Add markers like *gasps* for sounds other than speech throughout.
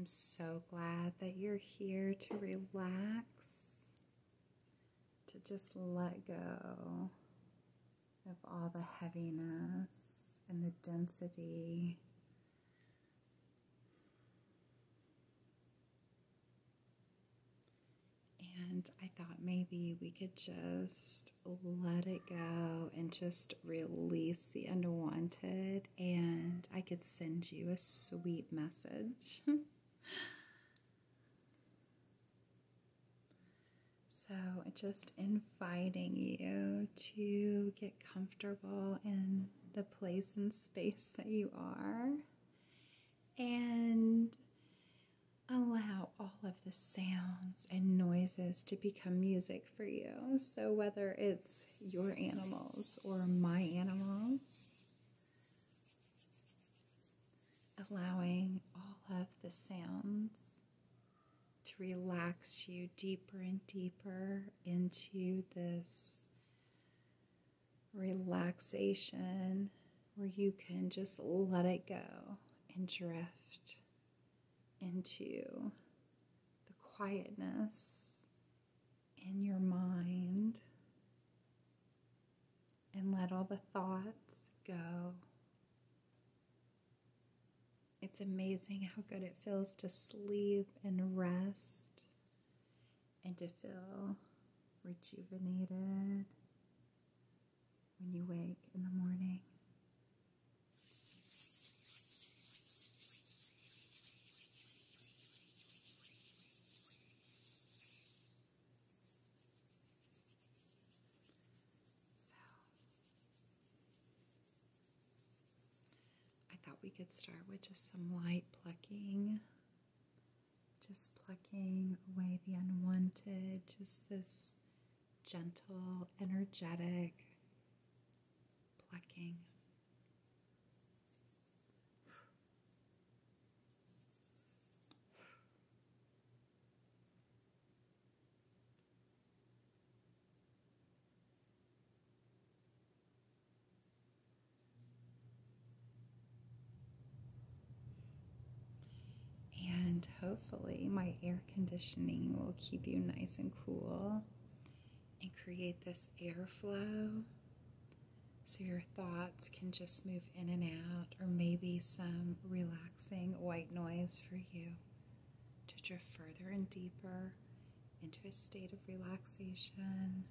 I'm so glad that you're here to relax, to just let go of all the heaviness and the density and I thought maybe we could just let it go and just release the unwanted, and I could send you a sweet message. *laughs* so, just inviting you to get comfortable and the place and space that you are and allow all of the sounds and noises to become music for you. So, whether it's your animals or my animals, allowing all of the sounds to relax you deeper and deeper into this relaxation where you can just let it go and drift into the quietness in your mind and let all the thoughts go. It's amazing how good it feels to sleep and rest and to feel rejuvenated when you wake in the morning. So, I thought we could start with just some light plucking. Just plucking away the unwanted, just this gentle, energetic plucking. And hopefully, my air conditioning will keep you nice and cool and create this airflow so your thoughts can just move in and out, or maybe some relaxing white noise for you to drift further and deeper into a state of relaxation.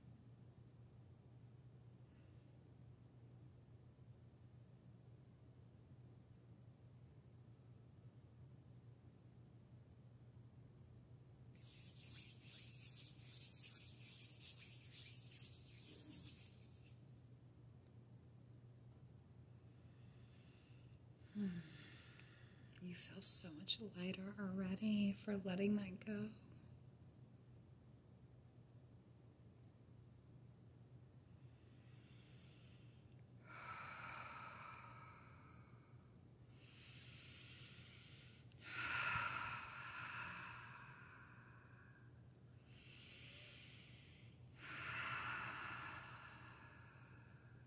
Hmm. You feel so much lighter already for letting that go.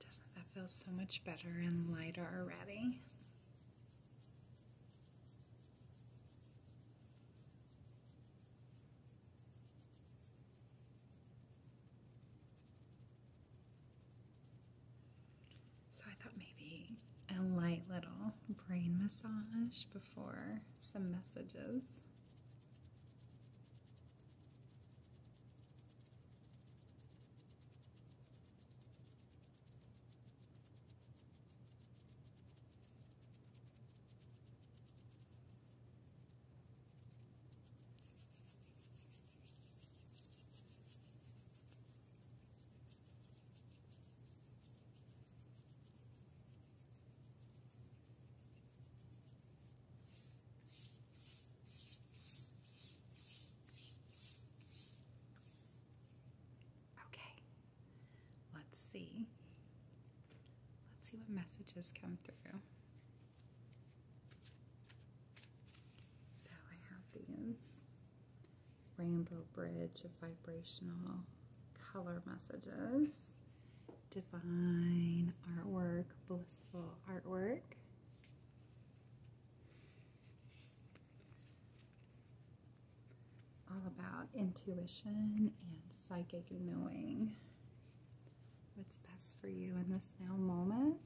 Doesn't that feel so much better and lighter already? So I thought maybe a light little brain massage before some messages. Okay, let's see. Let's see what messages come through. So I have these rainbow bridge of vibrational color messages, divine artwork, blissful artwork. All about intuition and psychic knowing what's best for you in this now moment.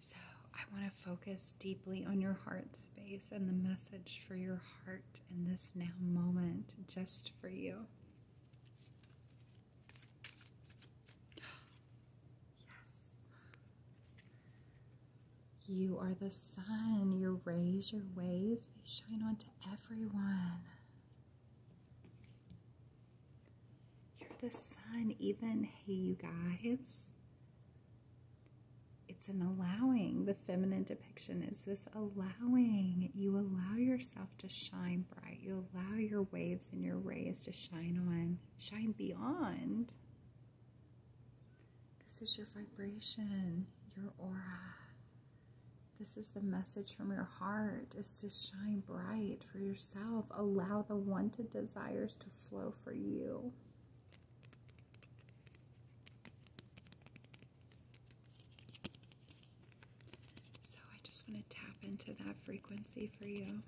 So, I want to focus deeply on your heart space and the message for your heart in this now moment just for you. *gasps* Yes. You are the sun. Your rays, your waves, they shine onto everyone. You're the sun, even, hey, you guys. It's an allowing. The feminine depiction is this allowing. You allow yourself to shine bright. You allow your waves and your rays to shine on, shine beyond. This is your vibration, your aura. This is the message from your heart is to shine bright for yourself. Allow the wanted desires to flow for you. So I just want to tap into that frequency for you.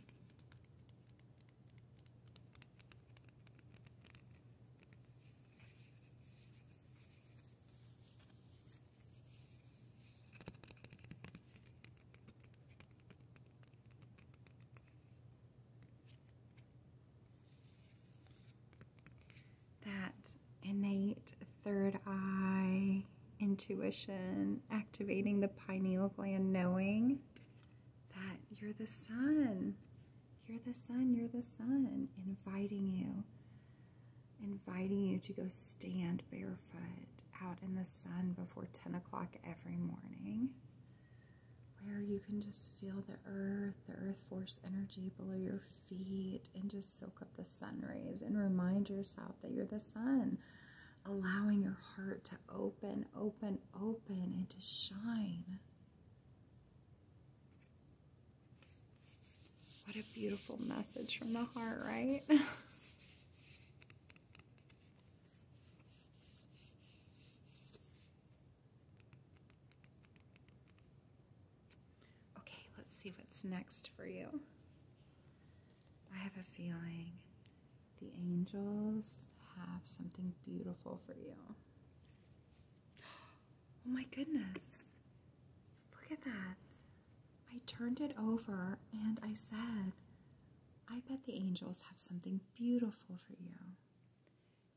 That innate third eye intuition, activating the pineal gland, knowing that you're the sun, you're the sun, you're the sun, inviting you, inviting you to go stand barefoot out in the sun before 10 o'clock every morning, where you can just feel the earth, the earth force energy below your feet, and just soak up the sun rays and remind yourself that you're the sun, allowing your heart to open, open, open, and to shine. What a beautiful message from the heart, right? *laughs* okay, let's see what's next for you. I have a feeling the angels have something beautiful for you. *gasps* Oh my goodness. Look at that. I turned it over and I said, I bet the angels have something beautiful for you.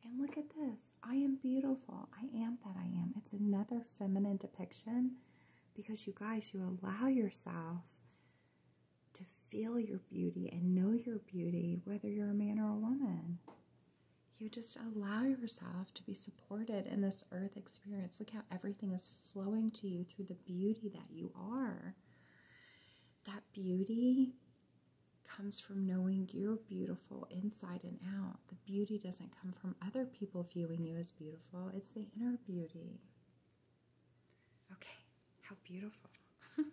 And look at this. I am beautiful. I am that I am. It's another feminine depiction because you guys, you allow yourself to feel your beauty and know your beauty, whether you're a man or a woman you just allow yourself to be supported in this earth experience. Look how everything is flowing to you through the beauty that you are. That beauty comes from knowing you're beautiful inside and out. The beauty doesn't come from other people viewing you as beautiful, it's the inner beauty. Okay, how beautiful. *laughs*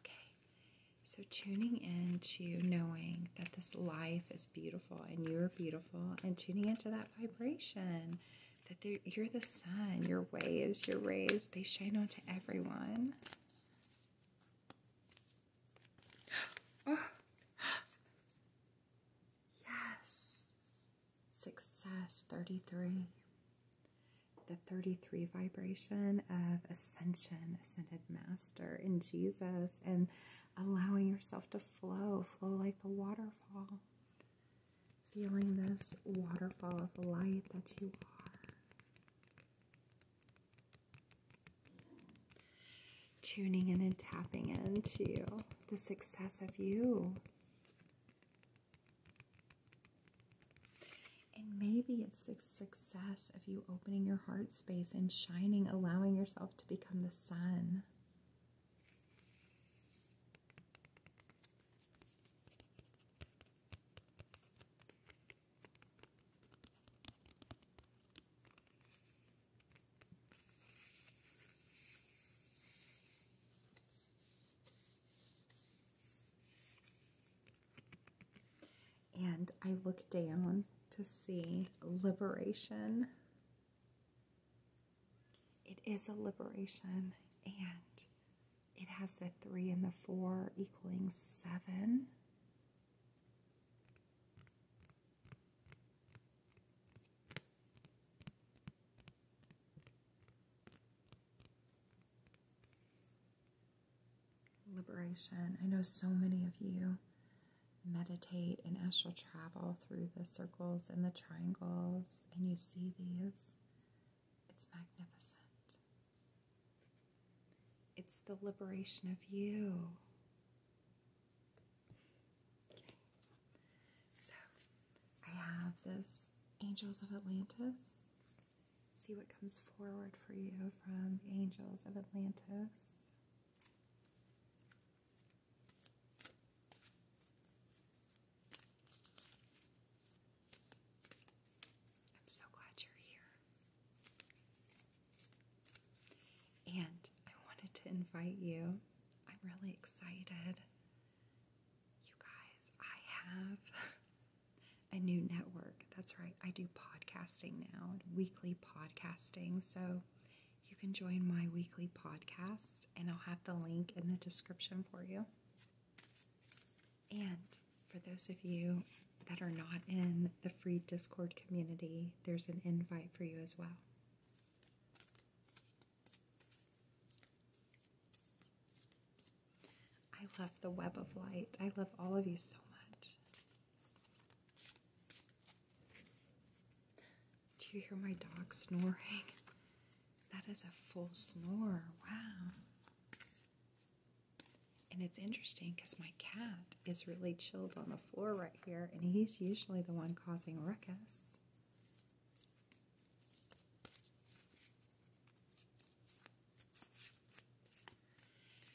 Okay, so tuning into knowing that this life is beautiful and you are beautiful, and tuning into that vibration that you're the sun, your waves, your rays, they shine on to everyone. *gasps* Oh. *gasps* yes, success 33 the 33 vibration of ascension, ascended master in Jesus, and allowing yourself to flow, flow like the waterfall. Feeling this waterfall of light that you are. Tuning in and tapping into the success of you. And maybe it's the success of you opening your heart space and shining, allowing yourself to become the sun. And I look down to see liberation. It is a liberation, and it has the three and the four equaling seven liberation. I know so many of you meditate and astral travel through the circles and the triangles, and you see these. It's magnificent. It's the liberation of you. So, I have this Angels of Atlantis see what comes forward for you from the Angels of Atlantis. I'm so glad you're here. And I wanted to invite you. I'm really excited. You guys, I have a new network. That's right, I do podcasting now, weekly podcasting. So you can join my weekly podcast, and I'll have the link in the description for you. And for those of you that are not in the free Discord community, there's an invite for you as well. I love the web of light. I love all of you so much. Do you hear my dog snoring? That is a full snore. Wow. And it's interesting because my cat is really chilled on the floor right here, and he's usually the one causing ruckus.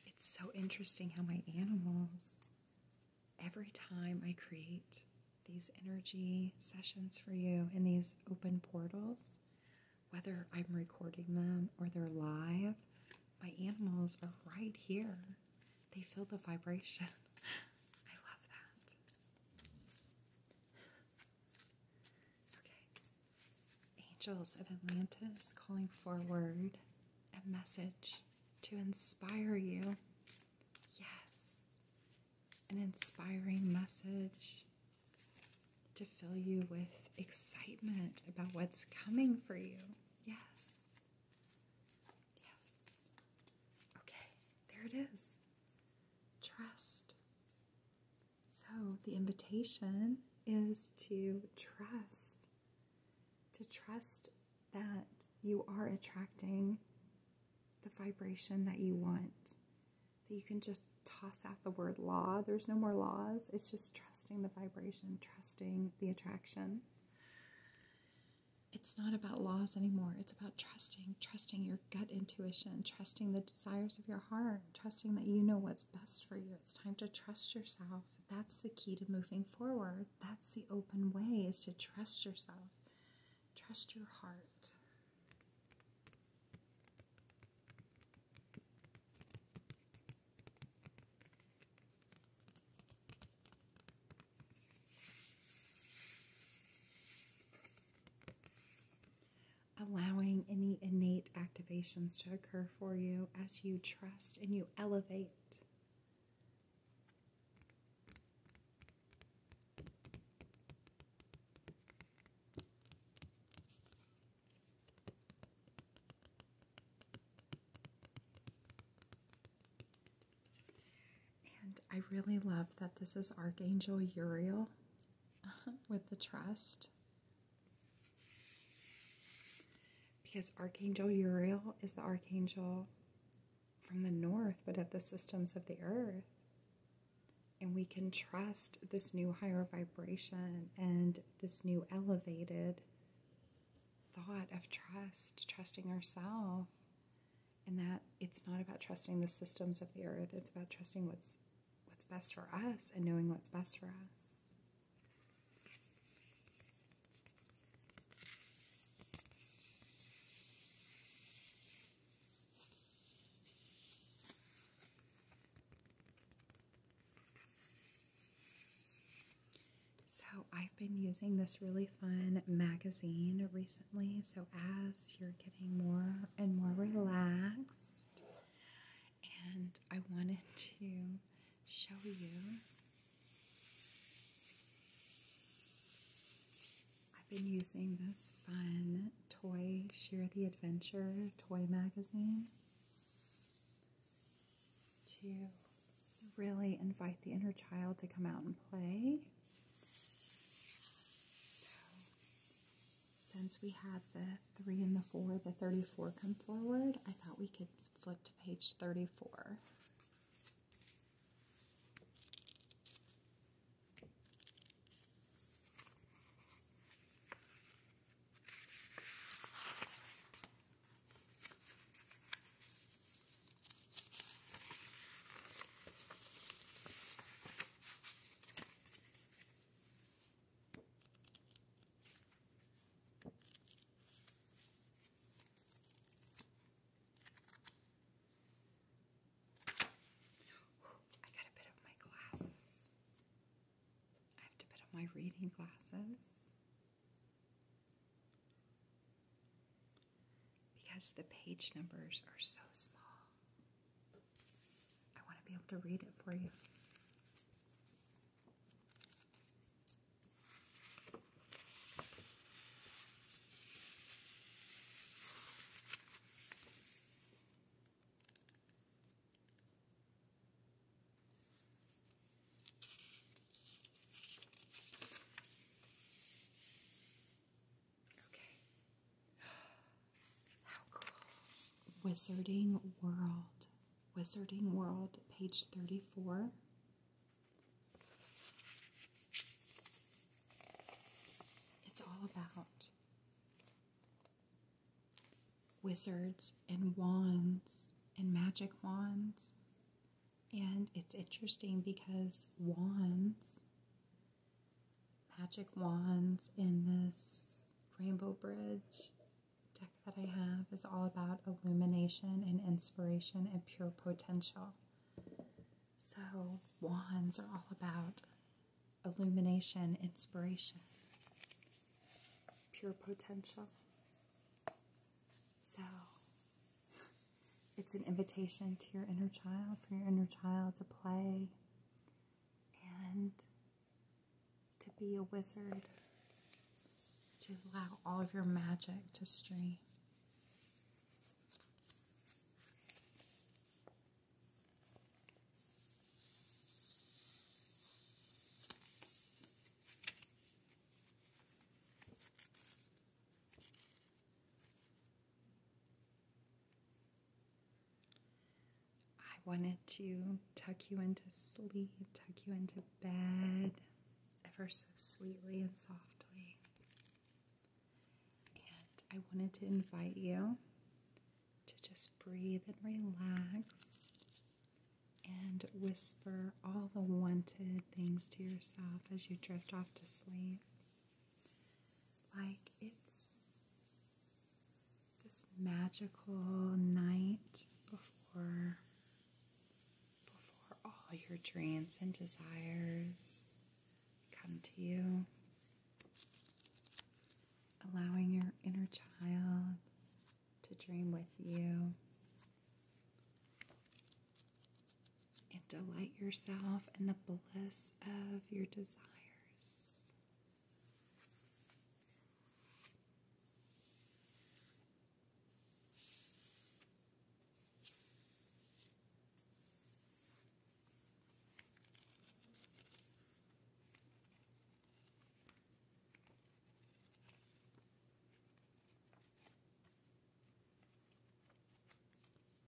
It's so interesting how my animals, every time I create these energy sessions for you in these open portals, whether I'm recording them or they're live, my animals are right here. They feel the vibration. *laughs* I love that. Okay, angels of Atlantis calling forward a message to inspire you. Yes, an inspiring message to fill you with excitement about what's coming for you. Yes. Yes. Okay, there it is. Trust. So, the invitation is to trust, to trust that you are attracting the vibration that you want. That you can just toss out the word law. There's no more laws. It's just trusting the vibration, trusting the attraction. It's not about laws anymore. It's about trusting, trusting your gut intuition, trusting the desires of your heart trusting that you know what's best for you. It's time to trust yourself. That's the key to moving forward. That's the open way is to trust yourself. Trust your heart allowing any innate activations to occur for you as you trust and you elevate. And I really love that this is Archangel Uriel *laughs* with the trust. Because Archangel Uriel is the archangel from the north, but of the systems of the earth. And we can trust this new higher vibration and this new elevated thought of trust, trusting ourselves, and that it's not about trusting the systems of the earth, it's about trusting what's what's best for us and knowing what's best for us. So, I've been using this really fun magazine recently. So, as you're more and more relaxed, and I wanted to show you. I've been using this fun toy Share the Adventure toy magazine to really invite the inner child to come out and play since we had the three and the four, the 34 come forward, I thought we could flip to page 34. I got a bit of my glasses. I have to put on my reading glasses because the page numbers are so small. I want to be able to read it for you. Okay. How *gasps* cool. Wizarding World. Wizarding World, page 34. It's all about wizards and wands and magic wands. And it's interesting because wands magic wands in this rainbow bridge deck that I have is all about illumination and inspiration and pure potential. So, wands are all about illumination, inspiration, pure potential. So, it's an invitation to your inner child, for your inner child to play, and to be a wizard, to allow all of your magic to stream. I wanted to tuck you into sleep, tuck you into bed ever so sweetly and softly. And I wanted to invite you to just breathe and relax and whisper all the wanted things to yourself as you drift off to sleep. Like it's this magical night before before all your dreams and desires come to you. Allowing your inner child to dream with you and delight yourself in the bliss of your desires.